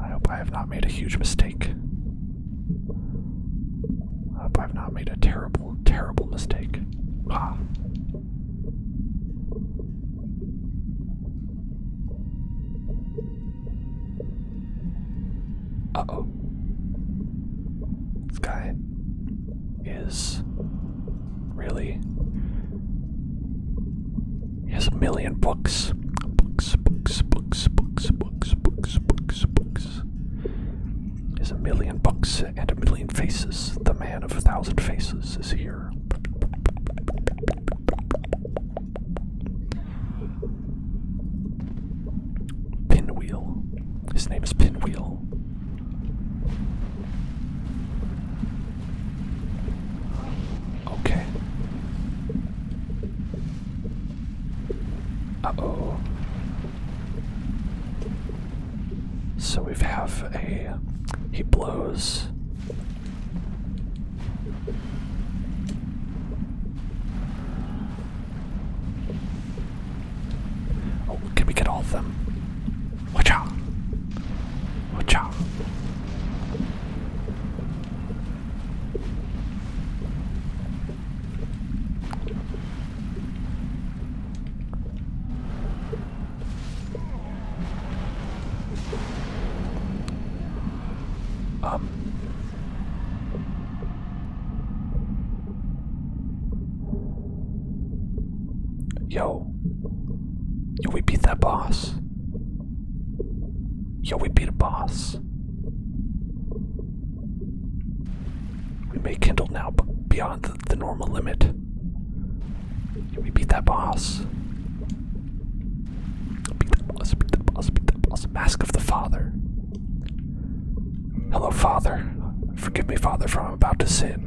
I hope I have not made a huge mistake. I hope I've not made a terrible, terrible mistake. Uh oh. This guy is really he has a million books. Books, books, books, books, books, books, books, books. He has a million books and a million faces. The man of a thousand faces is here. Pinwheel. His name is Pinwheel. Okay. Uh oh. So we have a. He blows. Oh, can we get all of them? Watch out! Watch out! Um, yo, yo, we beat that boss. Yo, we beat a boss. We may kindle now beyond the, normal limit. Yo, we beat that boss. Beat that boss, beat that boss, beat that boss. Mask of the Father. Hello, Father. Forgive me, Father, for I'm about to sin.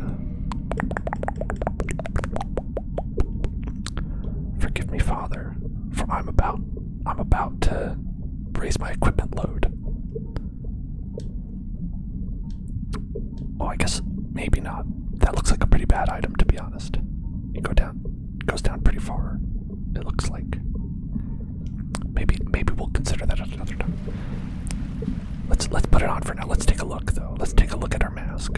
Forgive me, Father, for I'm about I'm about to raise my equipment load. Oh, I guess maybe not. That looks like a pretty bad item, to be honest. It go down, goes down pretty far. It looks like. Maybe maybe we'll consider that another time. Let's let's put it on for now. Let's take a look though. Let's take a look at our mask.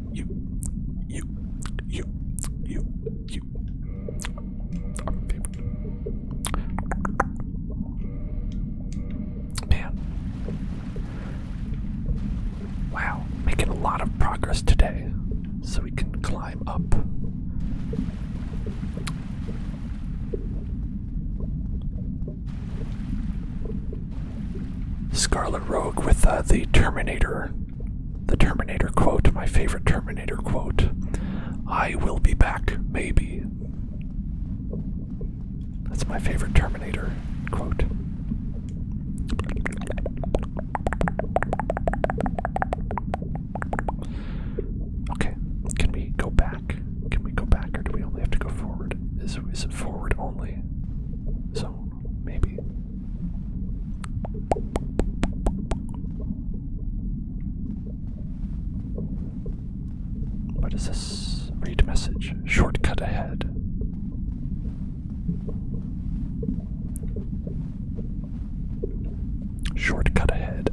you, you, you, you, you are my favorite. Man. Wow, making a lot of progress today. So we can climb up. Scarlet Rogue with uh, the Terminator, the Terminator quote, my favorite Terminator quote. I will be back, maybe. That's my favorite Terminator quote. Okay, can we go back? Can we go back, or do we only have to go forward? Is, is forward only? So, maybe. What is this? Read message. Shortcut ahead. Shortcut ahead.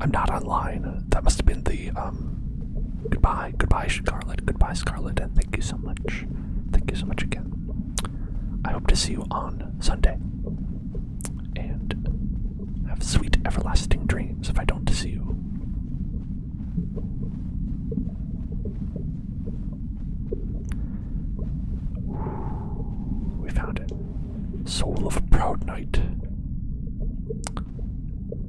I'm not online. That must have been the um goodbye, goodbye Scarlet, goodbye Scarlet, and thank you so much. Thank you so much again. I hope to see you on Sunday. And have sweet, everlasting dreams if I don't see you. we found it. Soul of a Proud Knight.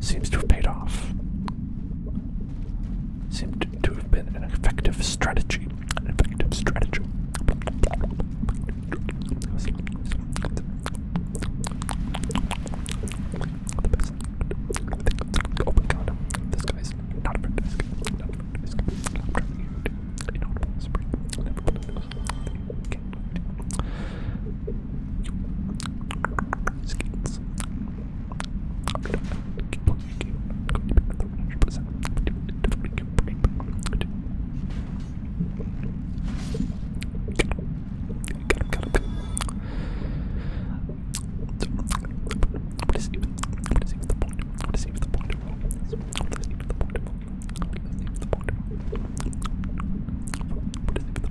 seems to have paid off. Seemed to have been an effective strategy. An effective strategy. Oh this guy's not a friend. This guy's what is even what is even the point? What is even the point? What is even the point? What is even the point? What is even the point?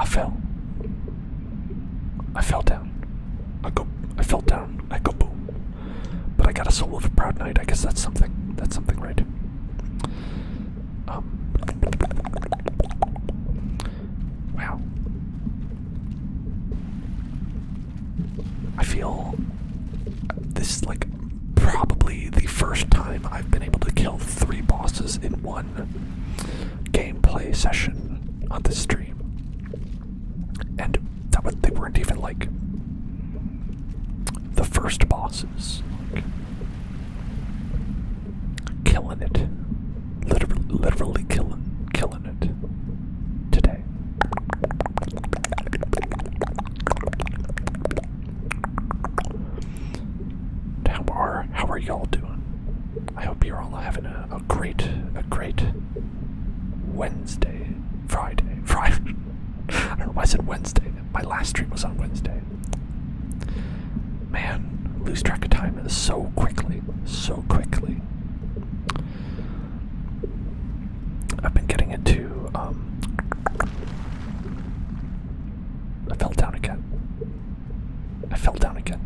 I fell. I fell down. I go. I fell down. I go boom. But I got a soul of a proud knight. I guess that's something. That's something, right? Um. Wow. I feel this is like probably the first time I've been able to kill three bosses in one gameplay session on this stream. And that was, they weren't even like the first bosses. Like, killing it. Literally, literally killing, killing today. How are how are y'all doing? I hope you're all having a, a great a great Wednesday, Friday, Friday. I don't know why I said Wednesday. My last stream was on Wednesday. Man, lose track of time so quickly, so quickly. I've been getting into, um, I fell down again. I fell down again.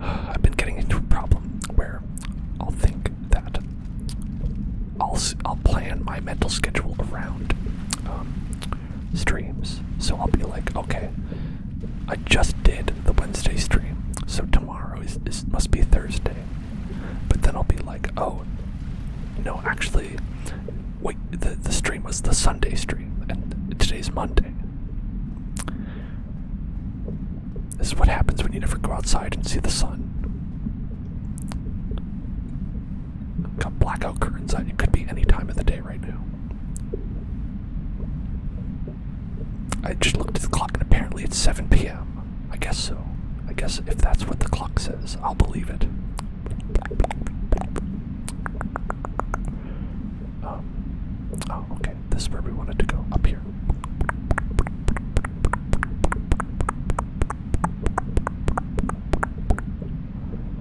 I've been getting into a problem where I'll think that I'll, I'll plan my mental schedule around um, streams. So I'll be like, okay, I just did the Wednesday stream, so tomorrow is, must be Thursday. But then I'll be like, oh, no, actually, wait, the the stream was the Sunday stream, and today's Monday. This is what happens when you never go outside and see the sun. Got blackout curtains on. It could be any time of the day right now. I just looked at the clock and apparently it's 7 p.m. I guess so. I guess if that's what the clock says, I'll believe it. Um, oh, okay. This where we wanted to go. Up here.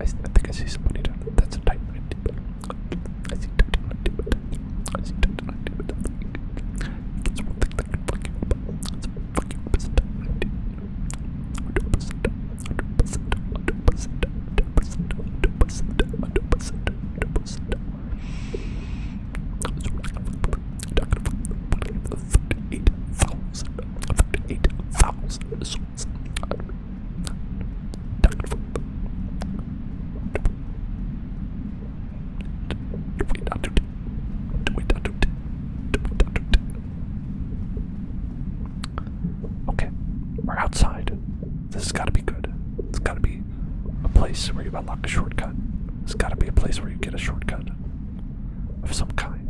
I think I see somebody That's a titan. I see titan. I see titan. It's one thing you Okay, we're outside. This has got to be good. It's got to be a place where you unlock a shortcut. It's got to be a place where you get a shortcut of some kind.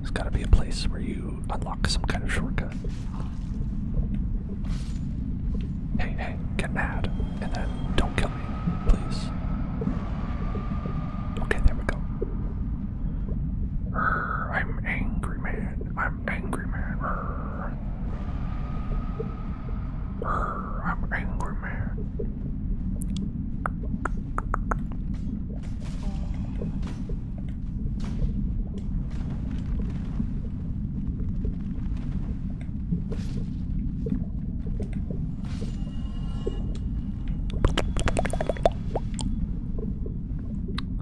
There's gotta be a place where you unlock some kind of shortcut. Hey, hey, get mad, and then don't kill me, please. Okay, there we go. I'm angry man. I'm angry man. I'm angry man.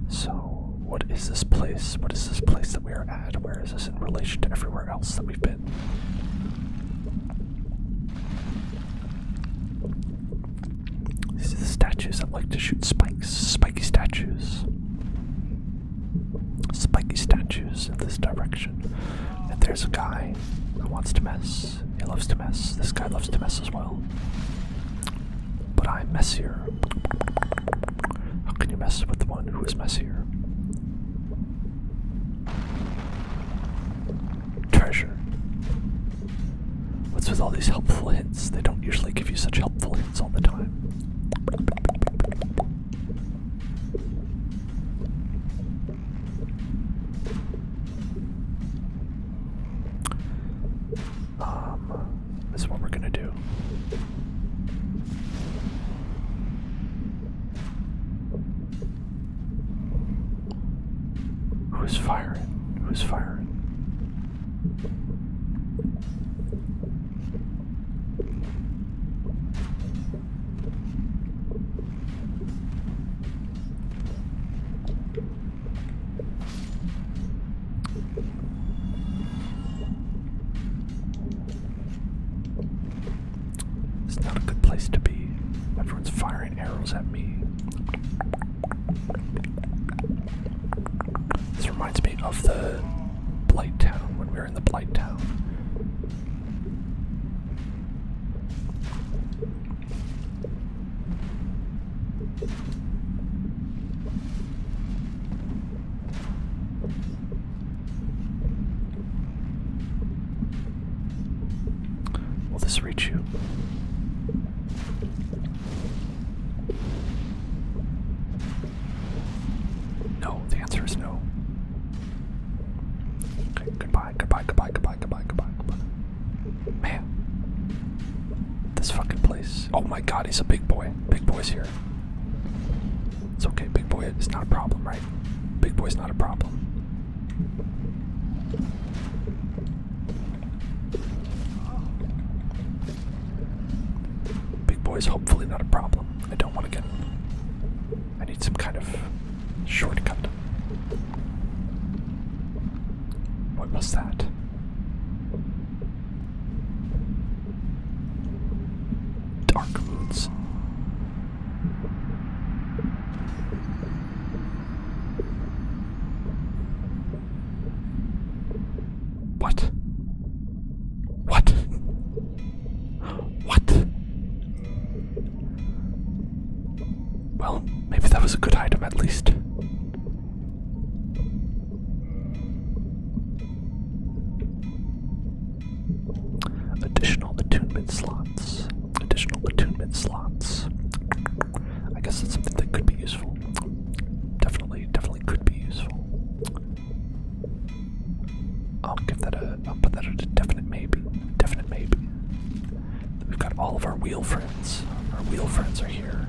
So, what is this place? What is this place that we are at? Where is this in relation to everywhere else that we've been? These are the statues. that like to shoot spikes. Spiky statues. Spiky statues in this direction. And there's a guy who wants to mess. He loves to mess. This guy loves to mess as well. But I'm messier. How can you mess with the one who is messier? Treasure. What's with all these helpful hints? They don't usually give you such helpful hints all the time. Um, this is what we're gonna do. Who's firing? Who's firing? It's not a good place to be. Everyone's firing arrows at me. This reminds me of the Blight Town when we were in the Blight Town. Will this reach you? No, the answer is no. Okay, goodbye, goodbye, goodbye, goodbye, goodbye, goodbye, goodbye. Man. This fucking place. Oh my god, he's a big boy. Big boy's here. It's okay, big boy. It's not a problem, right? Big boy's not a problem. Big boy's hopefully not a problem. I don't want to get. I need some kind of shortcut. What was that? Dark Woods. What? What? What? Well, maybe that was a good item at least. Additional attunement slots. Additional attunement slots. I guess that's something that could be useful. Definitely, definitely could be useful. I'll give that a. I'll put that at a definite maybe. Definite maybe. We've got all of our wheel friends. Our wheel friends are here.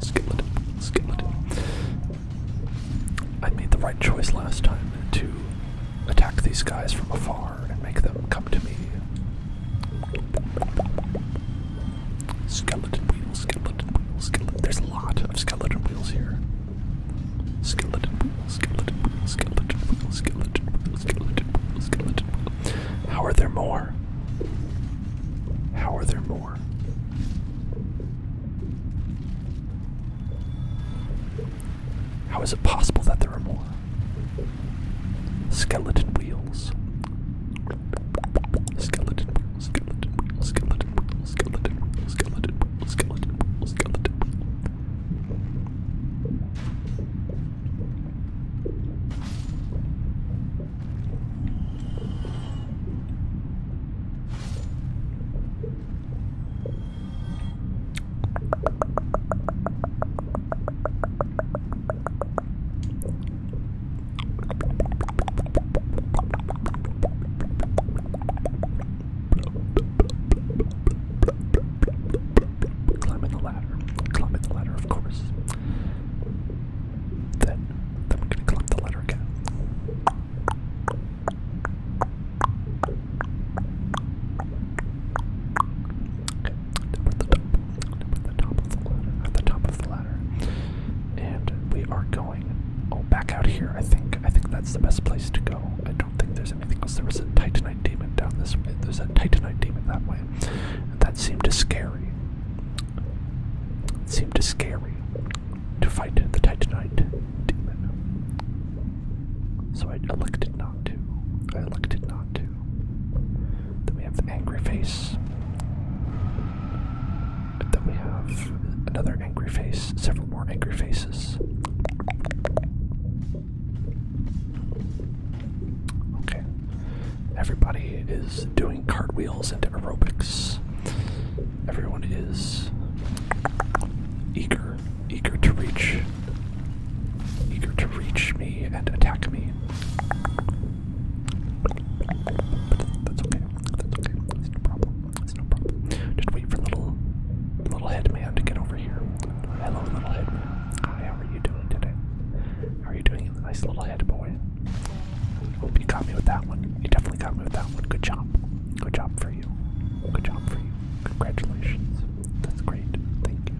Skillet, skillet. I made the right choice last time to attack these guys from afar and make them come to me. Skeleton wheels, skeleton wheels, skeleton. There's a lot of skeleton wheels here. Skeleton wheels, skeleton wheels, skeleton wheels, skeleton wheels, skeleton wheels, skeleton wheels. How are there more? How are there more? How is it possible that there are more? Skeleton wheels. Skeleton wheels, skeleton wheels, skeleton wheels, skeleton wheels, skeleton wheels, skeleton wheels, skeleton wheels. Climbing the ladder. Climbing the ladder, of course. Then, then we gonna collect the letter again. Okay, down the top, down the top of the ladder, at the top of the ladder, and we are going. Oh, back out here. I think. I think that's the best place to go. I don't think there's anything else. There was a Titanite demon down this way. There's a Titanite demon that way. And that seemed as scary. It seemed scary to fight the Titanite demon. So I elected not to. I elected not to. Then we have the angry face. then we have another angry face, several more angry faces. Okay. Everybody is doing cartwheels and aerobics. Everyone is eager, eager to reach, eager to reach me and attack me. that's okay. That's okay. It's no problem. It's no problem. Just wait for little, little headman to get over here. Hello, little headman. Hi, how are you doing today? How are you doing? Nice little head, boy. Hope you caught me with that one. You definitely got me with that one. Good job. Good job for you. Good job for you. Congratulations. That's great. Thank you.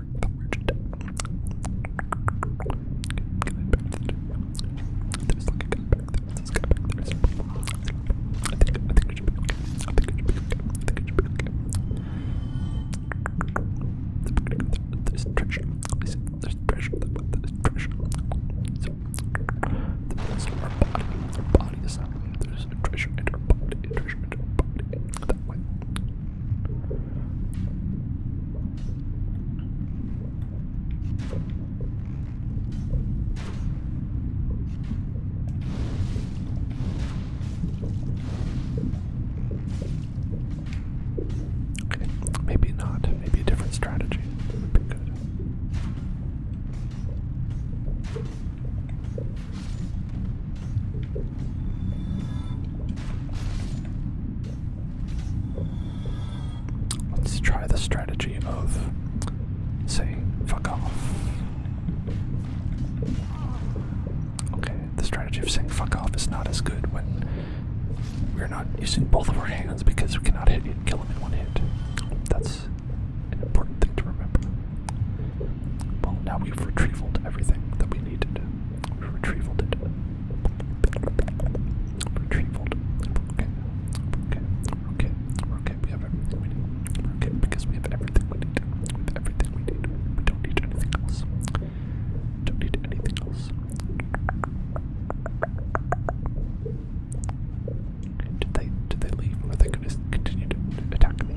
You're the worst. There's like a guy back there. There's a guy back there. I think, I think it should be okay. I think it should be okay. I think it should be okay. There's pressure. There's, there's pressure. There's pressure. So, the best of our body. Our body is not. There's a treasure in our body. Treasure in our body. That way maybe not. Maybe a different strategy Let's try the strategy of saying fuck off. Okay, the strategy of saying fuck off is not as good when we're not using both of our hands because we cannot hit and kill him in one hit. That's an important thing to remember. Well, now we've retrieved everything that we needed. We've retrievaled it. Okay. Okay. Okay. Okay. We have everything we need. okay because we have everything we need. everything we need. We don't need anything else. Don't need anything else. Did they did they leave? are they gonna continue to attack me?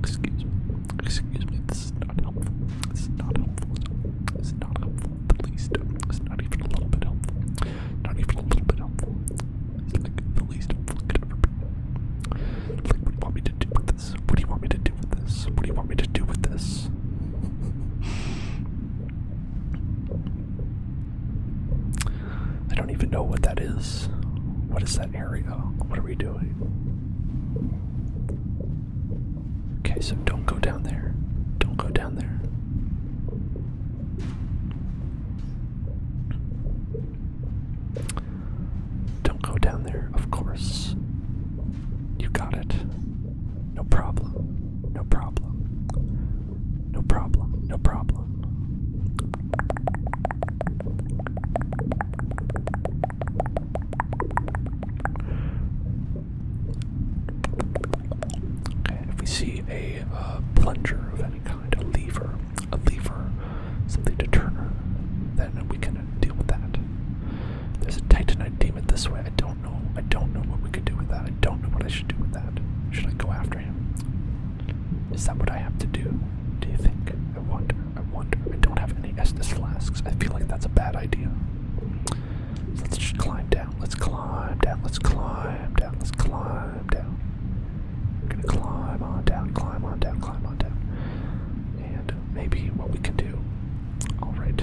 Excuse me. Excuse me. This is not helpful. This is not helpful. It's not helpful at the least. Uh, it's not even a little bit helpful. Not even a little bit helpful. It's like the least helpful could ever be. what do you want me to do with this? What do you want me to do with this? What do you want me to do with this? I don't even know what that is. What is that area? What are we doing? Okay, so don't go down there. Don't go down there. Don't go down there, of course. You got it. No problem. No problem. No problem. No problem. If we see a uh, plunger of any kind, a lever, a lever, something to turn then we can deal with that. There's a Titan. I deem it this way. I don't know. I don't know what we could do with that. I don't know what I should do with that. Should I go after him? Is that what I have to do? Do you think? I wonder. I wonder. I don't have any Estus flasks. I feel like that's a bad idea. let's just climb down. Let's climb down. Let's climb down. Let's climb down. I'm gonna climb on down, climb on down, climb on down. And maybe what we can do. Alright.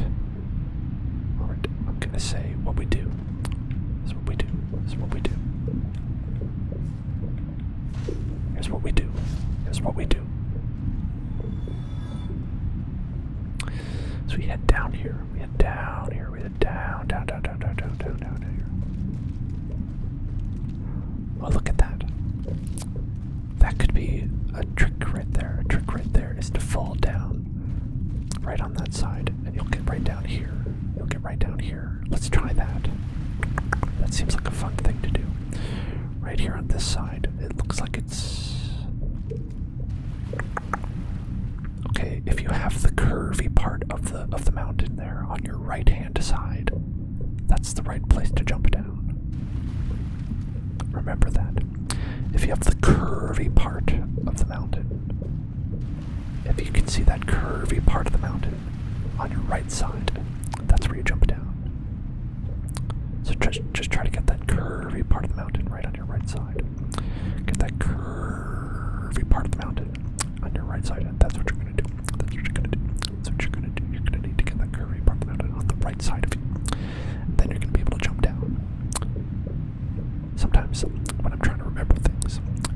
Alright. I'm gonna say what we do. This is what we do. This is what we do. Here's what we do. Here's what we do. So we head down here. We head down here. We head down, down, down, down, down, down, down, down here. Oh, look at that. That could be a trick right there. A trick right there is to fall down right on that side, and you'll get right down here. You'll get right down here. Let's try that. That seems like a fun thing to do. Right here on this side, it looks like it's. Okay, if you have the curvy part of the of the mountain there on your right hand side, that's the right place to jump down. Remember that. If you have the curvy part of the mountain, if you can see that curvy part of the mountain, on your right side. That's where you jump down. So just just try to get that curvy part of the mountain right on your right side. Get that curvy part of the mountain on your right side, that's what you're gonna do. That's what you're gonna do. That's what you're gonna do. You're gonna need to get that curvy part of the mountain on the right side of you. then you're gonna be able to jump down. Sometimes when I'm trying to remember things,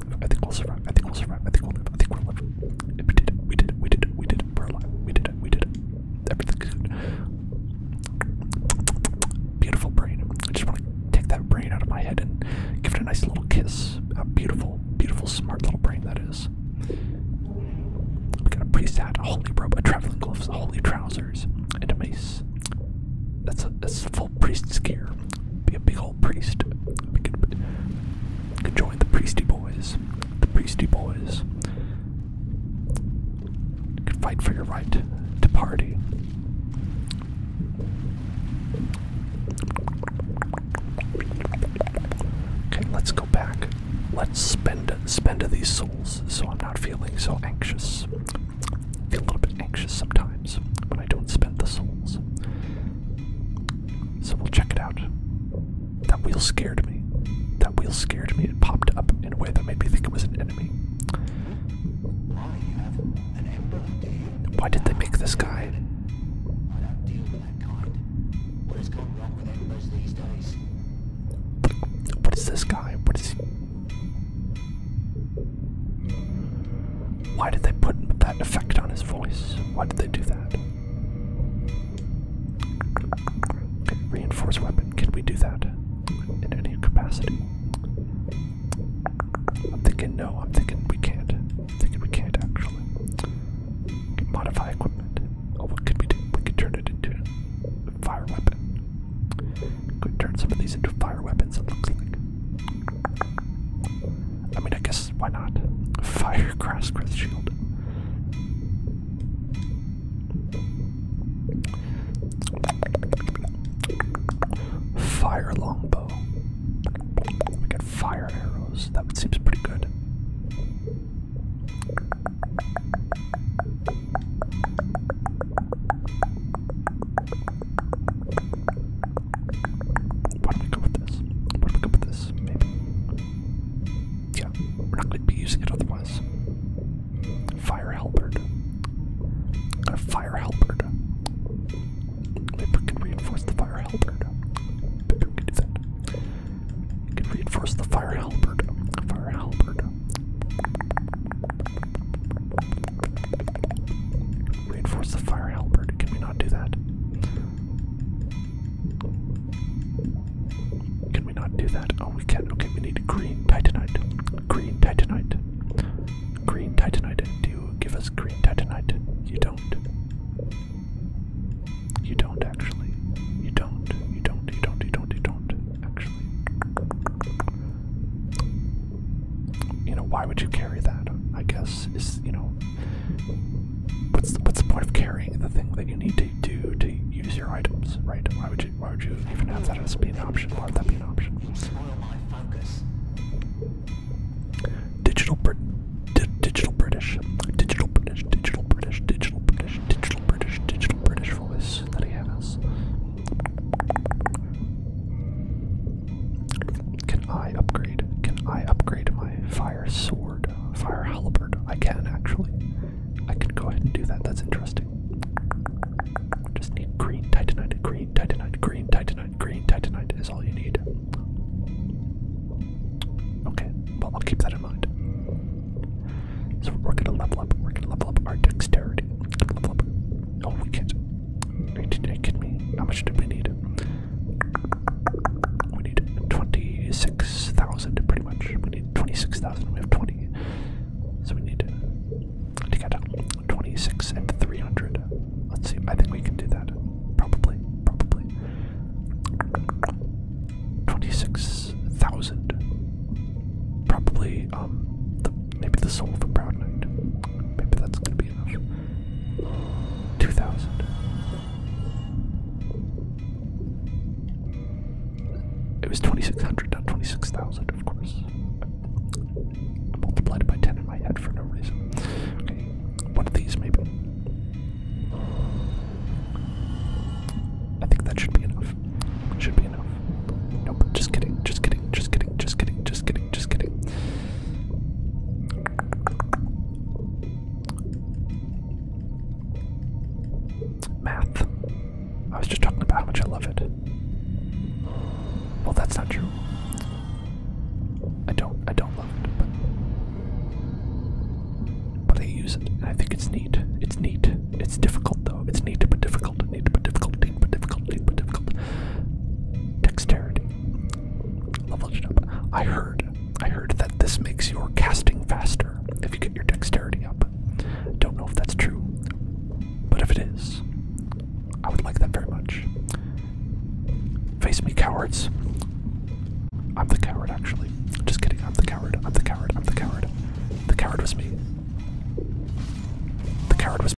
we'll live. I think we'll survive. I think we'll survive. I think we'll I think we'll live. We did it. We did it. We did it. We did it. We're alive. We did it. We did it. Everything's good. Beautiful brain. I just want to take that brain out of my head and give it a nice little kiss. A beautiful, beautiful, smart little brain that is. We got a priest priesthat, a holy robe, a traveling gloves, holy trousers, and a mace. That's a that's full priest's gear. Be a big old. Priest. can join the Priesty Boys. The Priesty Boys. can fight for your right to party. Okay, let's go back. Let's spend spend these souls so I'm not feeling so anxious feel a little bit anxious sometimes when I don't spend the souls. So we'll check it out. That wheel scared me. That wheel scared me. It popped up in a way that made me think it was an enemy. Why did they make this guy? What is this guy? What is he? Why did they put that effect on his voice? Why did they do that? Reinforce weapon. Can we do that in any capacity? I'm thinking no. I'm thinking we can't. thinking we can't actually. modify equipment. Oh, what could we do? We could turn it into a fire weapon. could turn some of these into fire weapons. It looks like. I mean, I guess why not? Fire cross, Crest Shield. Fire Longbow. We got fire arrows. That seems pretty good. Why do we go with this? Why do we go with this? Maybe. Yeah, we're not going to be using it otherwise. Fire halberd. A fire halberd. Maybe we can reinforce the fire halberd. Maybe we can do that. We can reinforce the fire halberd. Fire halberd. Reinforce the fire halberd. Can we not do that? Can we not do that? Oh, we can. not Okay, we need green titanite. Green titanite. Green titanite. Do give us green titanite? You don't. You don't actually. You don't. You don't. You don't. You don't. You don't actually you know, why would you carry that? I guess is you know, what's the, what's the point of carrying the thing that you need to do to use your items, right? Why would you why would you even have that as being an option? Why would that be an option? You spoil my focus. Digital Brit, di digital British, digital British, digital British, digital British, digital British, digital British voice that he has. Can I upgrade? Can I upgrade my fire sword? Fire halberd? I can actually. I can go ahead and do that. That's interesting. Just need green titanite, green titanite, green titanite, green titanite is all you need. Okay, well I'll keep that in mind. So we're gonna level up. We're gonna level up our dexterity. Level Oh, we can't. Are you kidding me? How much do we need? We need 26,000 pretty much. We need 26,000. We have 20. So we need to get 26 and 300. Let's see. I think we can do that. Probably. Probably. 26,000. Probably um Maybe the soul of a proud knight. Maybe that's gonna be enough. 2,000. It was 2,600, not 26,000, of course. I multiplied by 10 in my head for no reason. Okay, one of these maybe. I think that should be enough. Should be enough. Nope, just kidding, just kidding, just kidding, just kidding, just kidding just kidding. Math. I was just talking about how much I love it. Well, that's not true. I don't, I don't love it, but, but I use it, and I think it's neat. It's neat. It's difficult though. It's neat but difficult. Neat but difficult. Neat but difficult. Neat but difficult. Dexterity. Leveled it up. I heard. I heard that this makes your casting faster if you get your dexterity up. Don't know if that's true, but if it is, I would like that very much. Face me, cowards. I'm the coward, actually. Just kidding. I'm the coward. I'm the coward. I'm the coward. The coward was me. The coward was